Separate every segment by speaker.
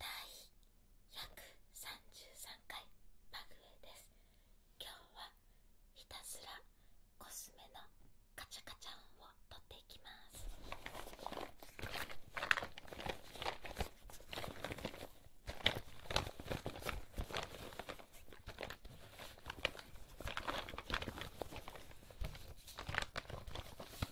Speaker 1: 第133回マグウェです今日はひたすらコスメのカチャカチャ音を取っていきます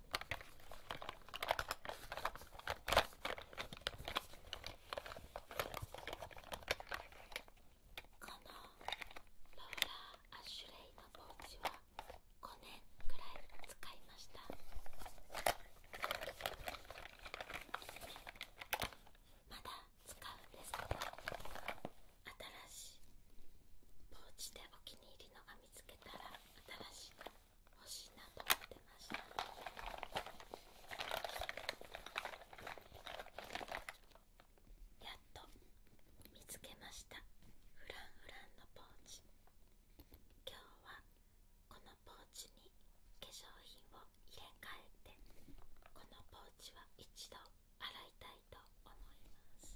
Speaker 1: このローラーアッシュレイのポーチは5年くらい使いましたまだ使うんですけど新しいポーチでお気に入りのが見つけたら新しい欲しいなと思っましたやっと見つけましたフランフランのポーチ今日はこのポーチに化粧品を入れ替えてこのポーチは一度洗いたいと思います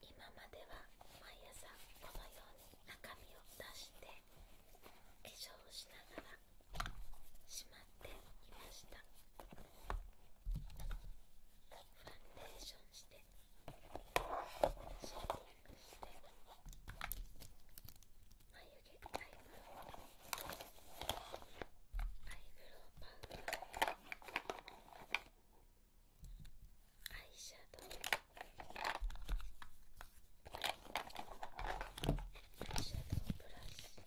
Speaker 1: 今までは毎朝このように中身を出して化粧をしながらしまっていましたファンデーションしてシェーピングして眉毛タイムアイブロウパウダーアイシャドウアイシ
Speaker 2: ャドウブラシ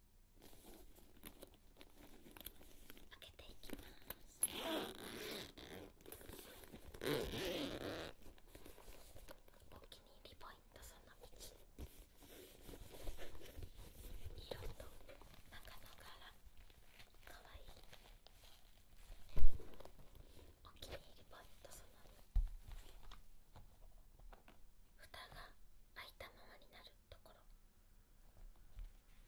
Speaker 2: 開けていきます。お気に入
Speaker 1: りポイントその道。色と中の柄かわいい。お気に入りポイントその2。蓋が開いたままになるところ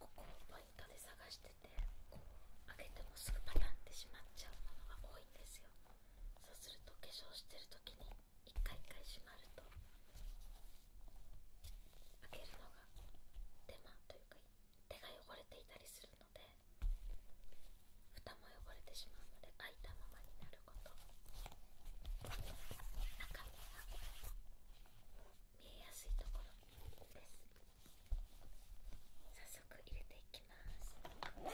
Speaker 1: ここをポイントで探しててこう開けてもすぐパタンってしまっちゃうものが多いんですよそうすると化粧してる時に一回一回閉まると開けるのが手間というか手が汚れていたりするので蓋も汚れてしまうので開いたままにな中身が見えやすいところです早速入れていきますこ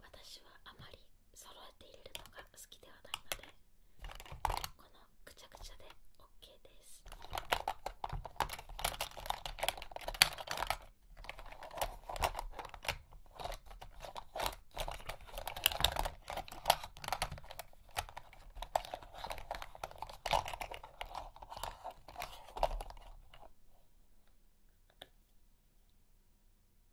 Speaker 2: 私はあまり揃えて入れるのが好きではないのでこのくちゃくちゃで OK です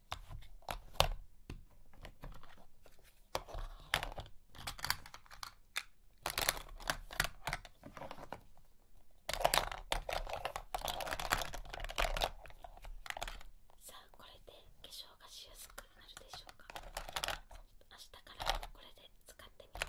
Speaker 2: さあこれで化粧がしやすくなるでしょうか明日からこれで使ってみます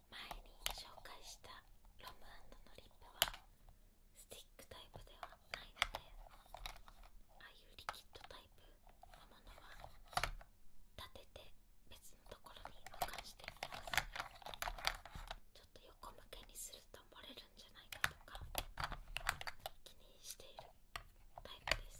Speaker 2: 前に紹介したロムのリップはスティックタイプではないのでああいうリキッドタイプのものは立てて別のところに保かしていますちょっと横向けにすると漏れるんじゃないかとか気にしているタイプです。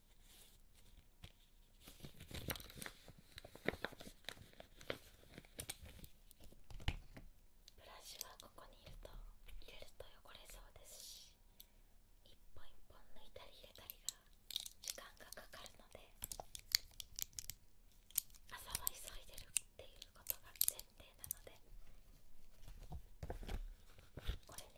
Speaker 2: ブラシはここにいると入れると汚れそうですし一本一本抜いたり入れたりが時間がかかるので朝は急いでるっていうことが前提なのでこれに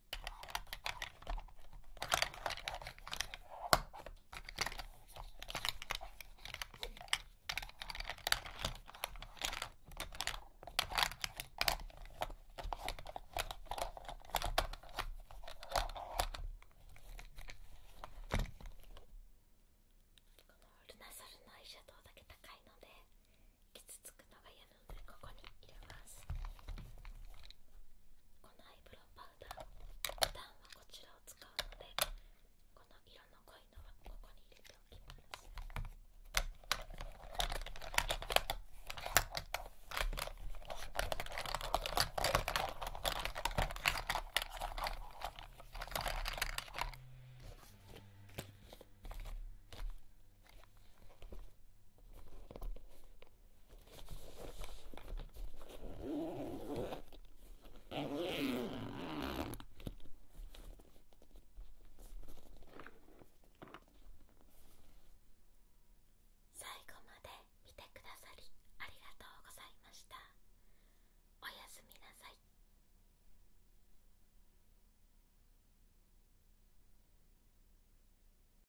Speaker 2: ルナサルのアイシャドウだけ高いので傷つくのが嫌なのでここに入れますイロパウダー普段はこちらを使うのでこの色の濃いのはここに入れておきます最後ま
Speaker 1: で見てくださりありがとうございましたおやすみなさい